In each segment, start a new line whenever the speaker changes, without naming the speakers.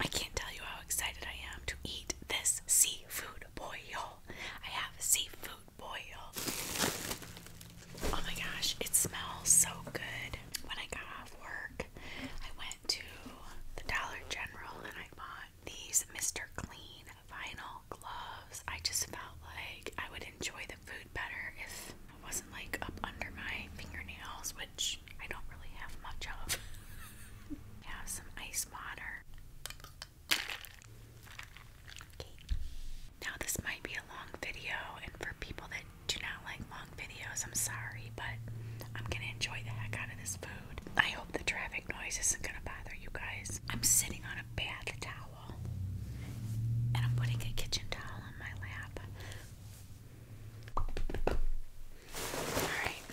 I can't tell you how excited I am to eat this seafood boil. I have a seafood boil. Oh my gosh, it smells so good. When I got off work, I went to the Dollar General and I bought these Mr. Clean vinyl gloves. I just felt like I would enjoy the food better if it wasn't like up under my fingernails, which I don't really have much of. have some ice water. Okay. Now this might be a long video, and for people that do not like long videos, I'm sorry, but I'm gonna enjoy the heck out of this food. I hope the traffic noise isn't gonna bother you guys. I'm sitting on a bath towel, and I'm putting a kitchen towel on my lap Alright,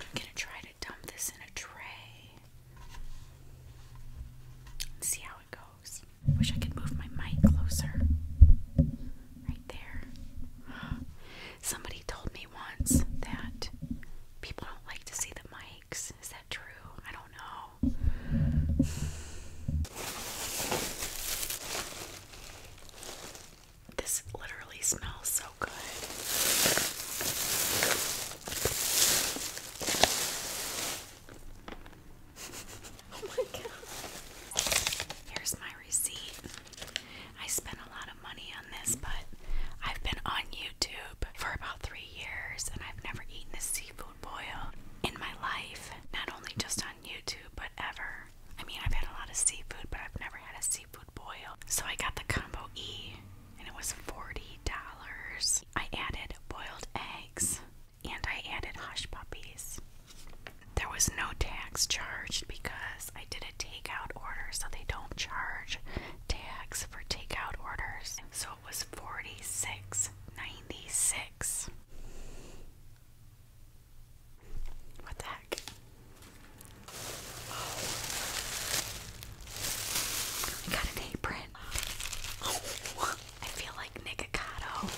I'm gonna try to dump this in a tray see how it goes. Wish I could move my mic closer. Right there. Somebody told me once that people don't like to see the mics. Is that true? I don't know. This literally smells so good. Oh my god. Here's my receipt. I spent a lot of money on this, but I've been on YouTube for about three years and I've never eaten a seafood boil in my life. Not only just on YouTube, but ever. I mean, I've had a lot of seafood, but I've never had a seafood boil. So I got the combo E, and it was $40. I added boiled eggs, and I added hush puppies. There was no tax charged because I did a takeout order, so they don't charge tax for takeout orders. So it was $46.96. What the heck? Oh. got an apron. I feel like Nikocado.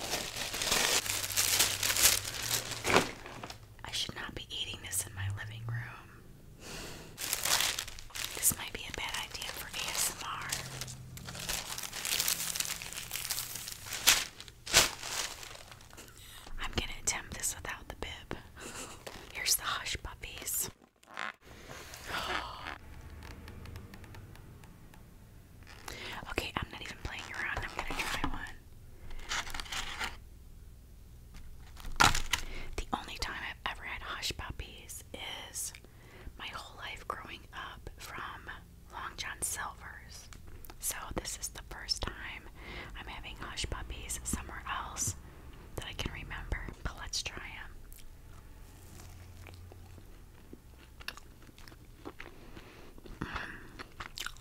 I should not be eating this in my living room. This might be a bad idea for ASMR. I'm gonna attempt this without the bib. Here's the hush puppies. okay, I'm not even playing around. I'm gonna try one. The only time I've ever had hush puppies is my whole life growing up from Long John Silver's. So this is the first time I'm having hush puppies somewhere else that I can remember. But let's try them. Mm.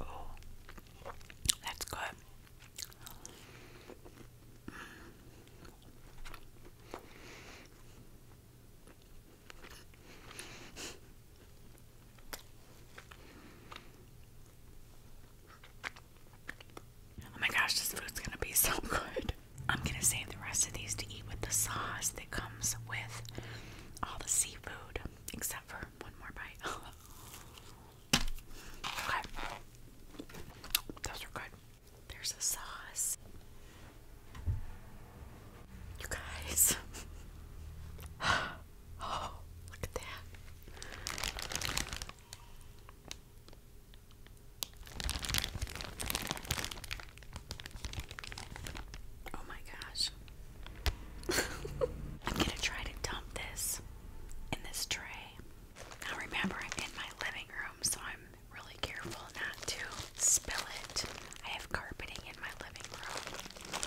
Oh, that's good. Mm. Oh my gosh, this food's gonna be so good. I'm gonna save the rest of these to eat with the sauce that comes with all the seafood, except for one more bite. okay. Those are good. There's a sauce. You guys. oh, look at that. Oh my gosh. I'm going to try to dump this in this tray. Now remember I'm in my living room so I'm really careful not to spill it. I have carpeting in my living room.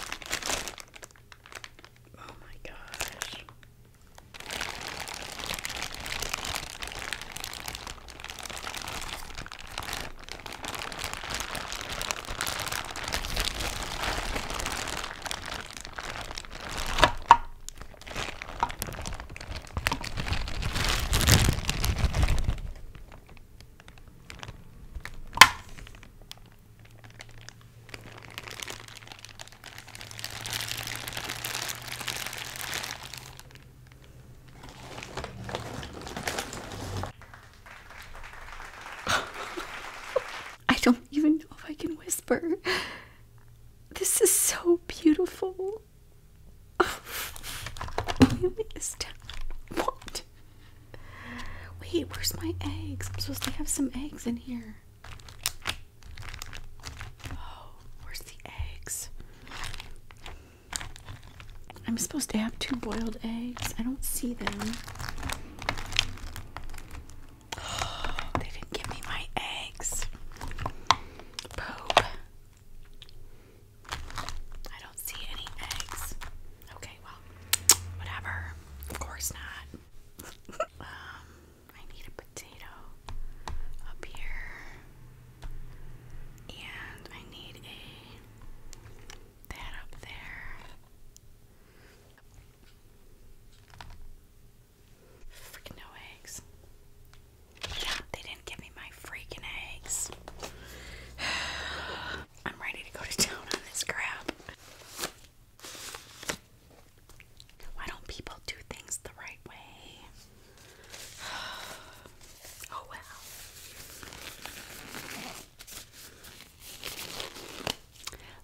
Oh my gosh. I don't even know if I can whisper. This is so beautiful. Really is down. What? Wait, where's my eggs? I'm supposed to have some eggs in here. Oh, where's the eggs? I'm supposed to have two boiled eggs. I don't see them. they didn't give me my eggs. I don't see any eggs. Okay, well, whatever. Of course not. um, I need a potato up here. And I need a that up there. Freaking no eggs. Yeah, they didn't give me my freaking eggs. I'm ready to go to town on this crap. Why don't people do things the right way? Oh well.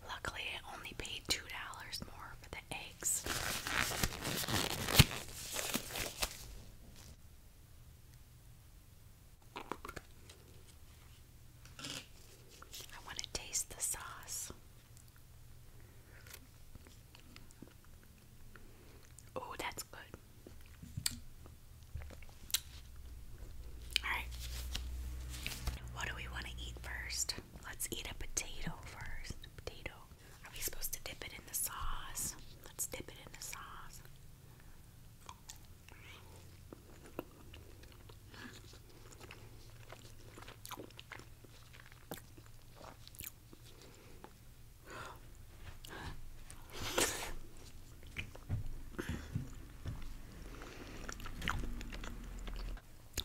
Luckily, I only paid $2 more for the eggs. I want to taste the sauce. Oh, that's good. Alright. What do we want to eat first? Let's eat a potato first. Potato. Are we supposed to dip it in the sauce? Let's dip it in the sauce.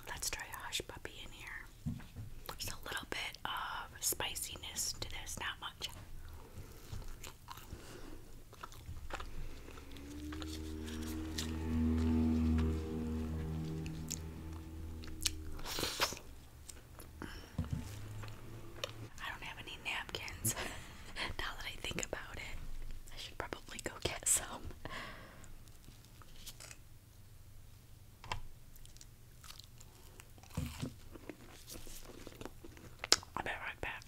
Let's try a hush puppy in here. Just a little bit of spiciness to this, not much. I don't have any napkins now that I think about it. I should probably go get some. I'll be right back.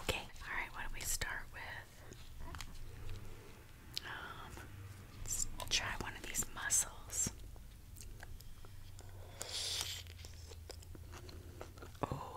Okay, alright, what do we start with? Um, let's try one of these mussels. Oh.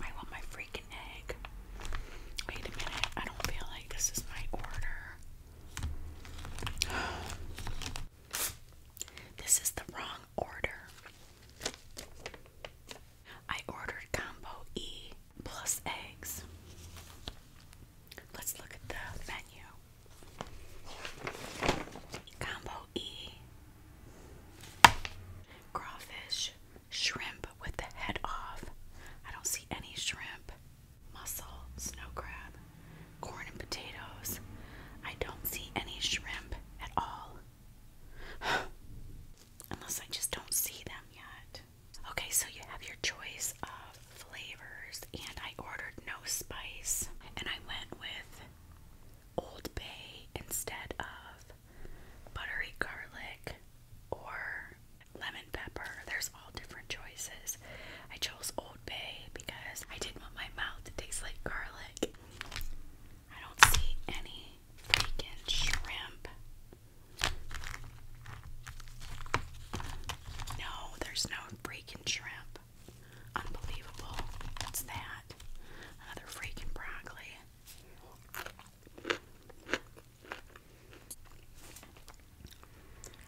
I want my freaking egg. Wait a minute, I don't feel like this is my order. this is the wrong order. I ordered combo E plus eggs. Let's look at the menu. Combo E Crawfish Shrimp with the head off. I don't see any shrimp. Mussel, snow crab, corn and potatoes. I don't see any shrimp at all. Unless I just don't see them yet. Okay, so you have your choice of flavors and I ordered no spice and I went with Old Bay instead of buttery garlic or lemon pepper. There's all different choices. I chose Old Bay because I didn't want my mouth to taste like garlic. I don't see any bacon shrimp. No, there's no freaking shrimp up. Unbelievable. What's that? Another freaking broccoli.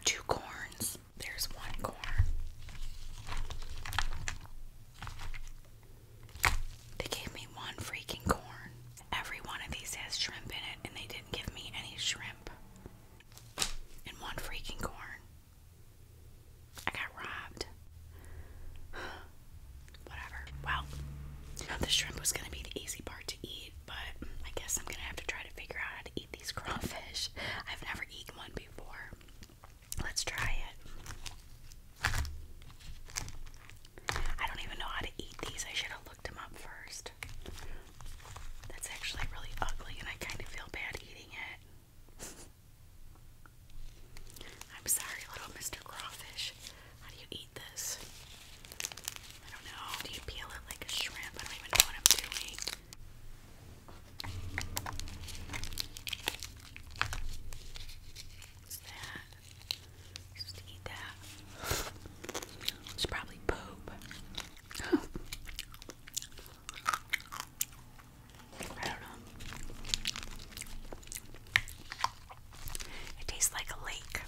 Two corns. There's one corn. They gave me one freaking corn. Every one of these has shrimp in it, and they didn't give me any shrimp and one freaking corn. I got robbed. Whatever. Well, the shrimp was gonna be the easy part to eat, but I guess I'm gonna have to try to figure out how to eat these crawfish. I've never eaten one before. Let's try it. I don't even know how to eat these. I should have looked them up first. That's actually really ugly, and I kind of feel bad eating it. I'm sorry, little Mr. Crawfish. How do you eat this? I don't know. Do you peel it like a shrimp? I don't even know what I'm doing. What's that? i eat that. It's probably poop. I don't know. It tastes like a lake.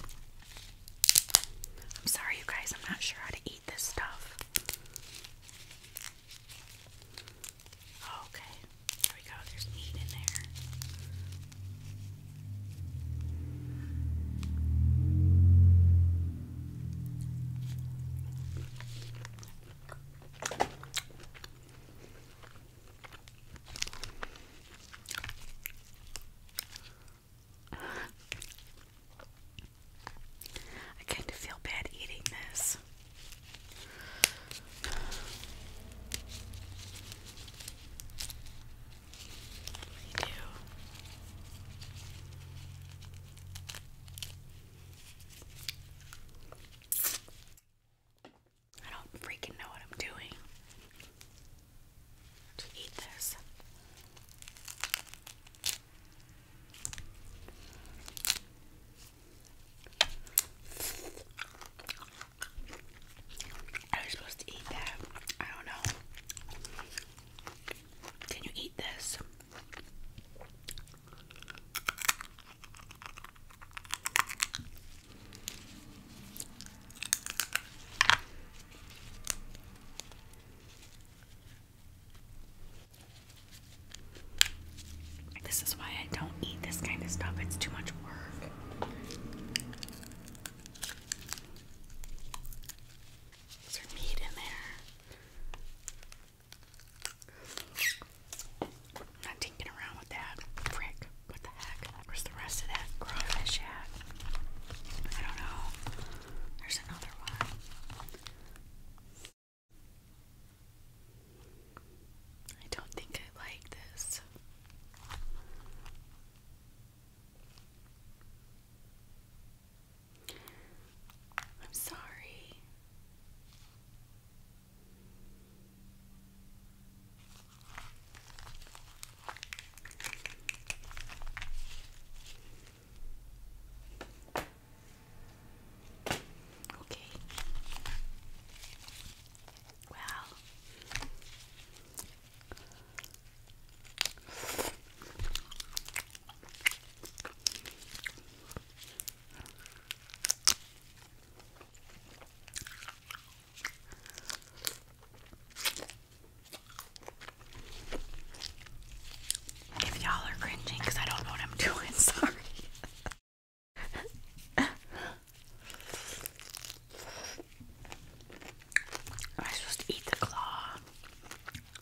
I'm sorry, you guys, I'm not sure how to eat this stuff. Okay, there we go, there's meat in there. I kind of feel bad eating this. I do. I don't freaking know what I'm doing to eat this. I was supposed to eat that. I don't know. Can you eat this? This is why I don't eat this kind of stuff, it's too much work. Is there meat in there? i not dinking around with that. Frick. What the heck? Where's the rest of that crawfish at? I don't know. There's another one. I don't think I like this. I'm sorry. Okay. Well, if y'all are cringing because I don't know what I'm doing, sorry. Am I supposed to eat the claw?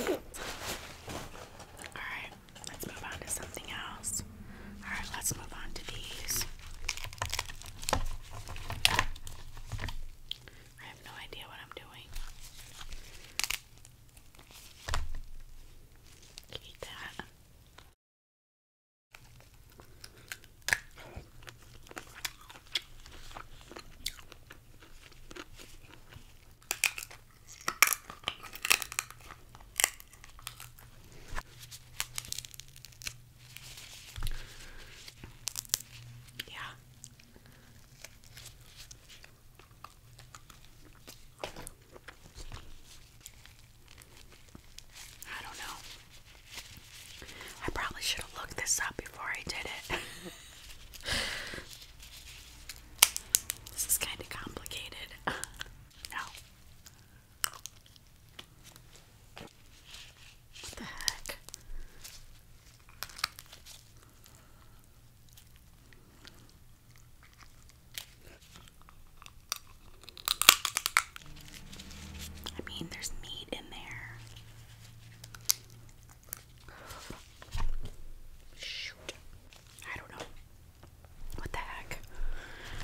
Alright, let's move on to something else. Alright, let's move on to these. I have no idea what I'm doing. Eat that. Yeah. I don't know. I probably should have looked this up before I did it. This is kind of complicated. no. What the heck? I mean, there's meat in there. Shoot. I don't know. What the heck?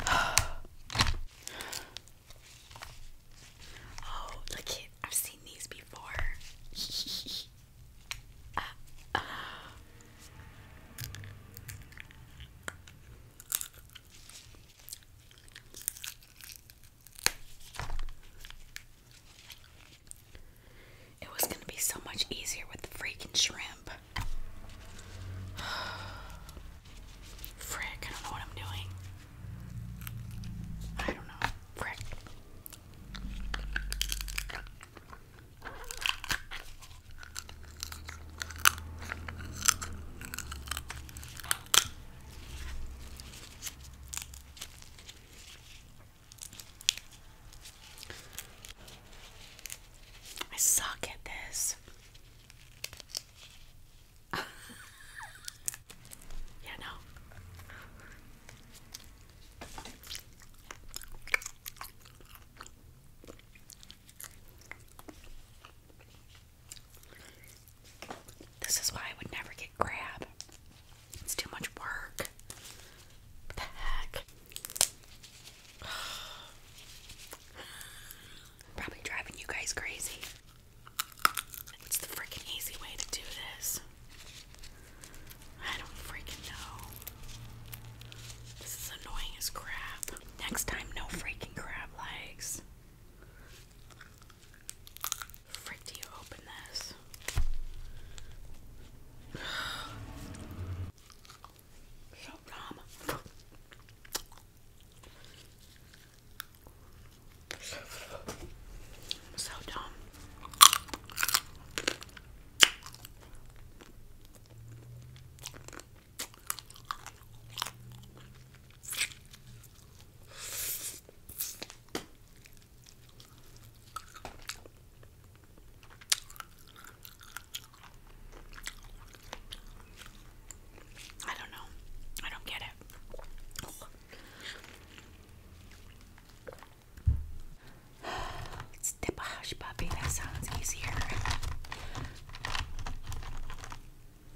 Oh, look it. I've seen these before. It was going to be so much easier with the freaking shrimp. Frick, I don't know what I'm doing. I don't know. Frick. I suck at this. yeah, no. This is why I would never get crab. It's too much work. What the heck? Probably driving you guys crazy. What's the freaking easy way to do this? I don't freaking know. This is annoying as crap. Next time, no freaking crab legs. Frick, do you open this? so dumb. So dumb. I don't know. I don't get it. Let's dip a hush puppy. That sounds easier.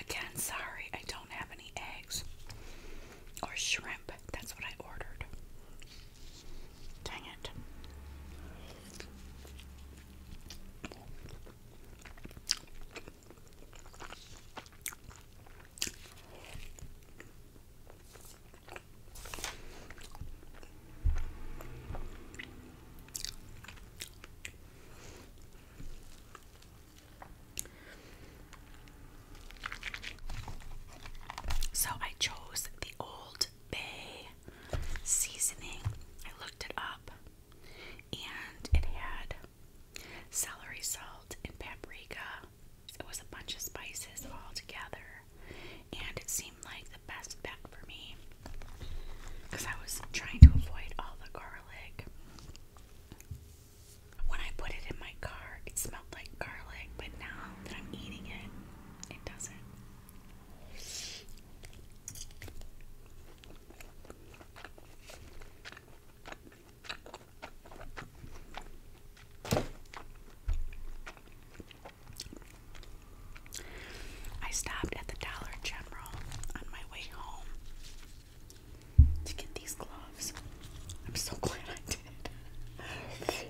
Again, sorry, I don't have any eggs or shrimp. That's what I ordered. Dang it. So I chose the Old Bay seasoning. I looked it up and it had celery salt and paprika. It was a bunch of spices all together and it seemed like the best bet for me. Because I was trying to avoid all the garlic. When I put it in my car, it smelled like garlic, but now that I'm eating it, it doesn't. I stopped at the Dollar General on my way home to get these gloves. I'm so glad I did.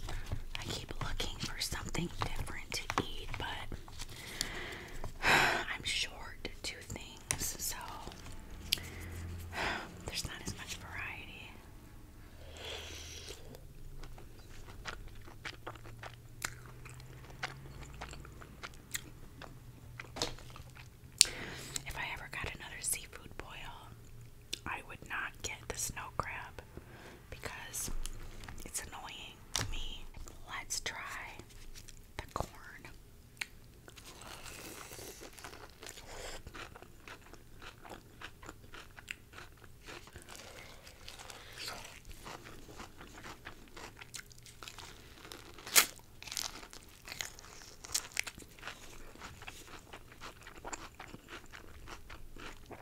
I keep looking for something different to eat, but I'm short two things, so there's not as much variety. If I ever got another seafood boil, I would not get the snow crab because it's annoying to me. Let's try the corn.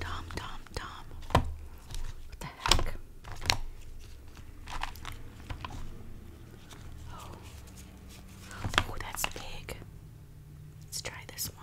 Tom, Tom, Tom. What the heck? Oh. Oh, that's big. Let's try this one.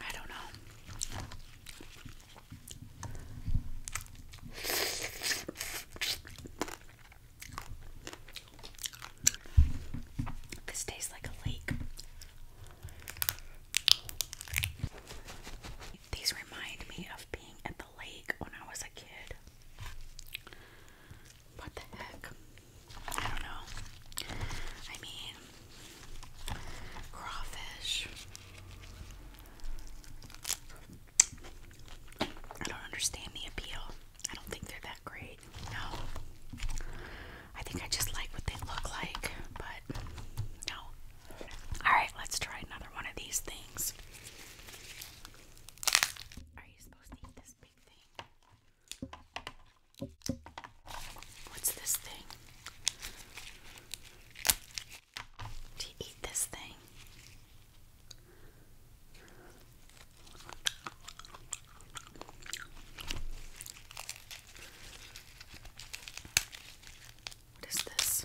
I don't know. This tastes like a lake. These remind me of being at the lake when I was a kid. What the heck? I don't know. I mean, crawfish. I don't understand the appeal. I don't think they're that great. No. I think I just like what they look like, but no. Alright, let's try another one of these things. Are you supposed to eat this What's this thing? Do you eat this thing? What is this?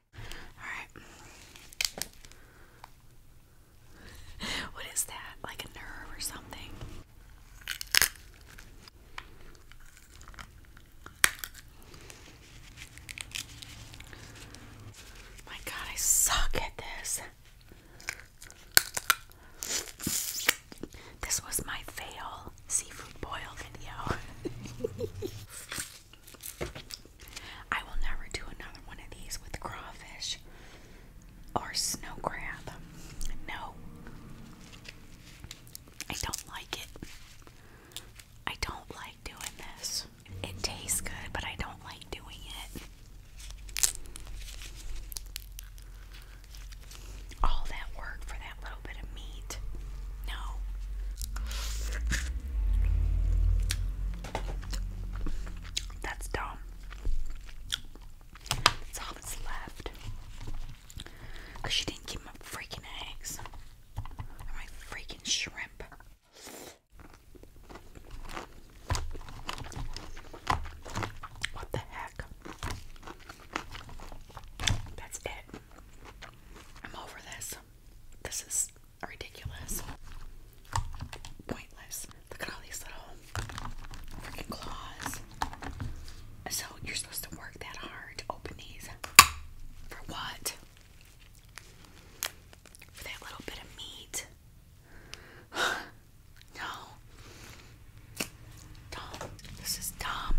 Alright. What is that? Like a nerve or something? My god, I suck at this. This was my fail seafood boil video. I will never do another one of these with crawfish or snow crab. No. I don't like it. I don't like doing this. It tastes good, but I don't like doing it. All that work for that little bit of meat. No. That's dumb. That's all that's left. Because she didn't give my freaking eggs. my freaking shrimp. What the heck? That's it. I'm over this. This is ridiculous. Pointless. Look at all these little freaking claws. So you're supposed to work that hard to open these. For what? For that little bit of meat. no. Dumb. This is dumb.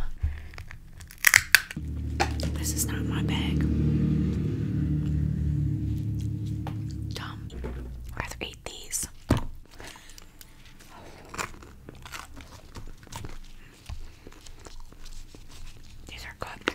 This is not my bag. Dumb. I'd rather eat these. These are good.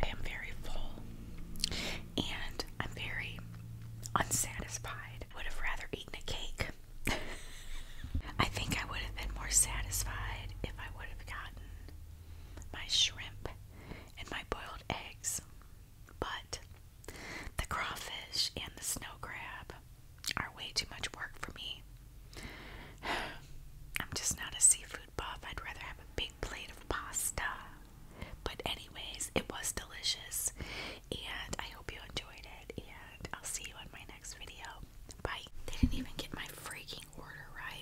I am very full and I'm very unsatisfied. Would have rather eaten a cake. I think I would have been more satisfied if I would have gotten my shrimp, and my boiled eggs. But the crawfish and the snow crab are way too much work for me. I'm just not a seafood buff. I'd rather have a big plate of pasta. But, anyways, it was delicious, and I hope you enjoyed it. And I'll see you on my next video. Bye. They didn't even get my freaking order right.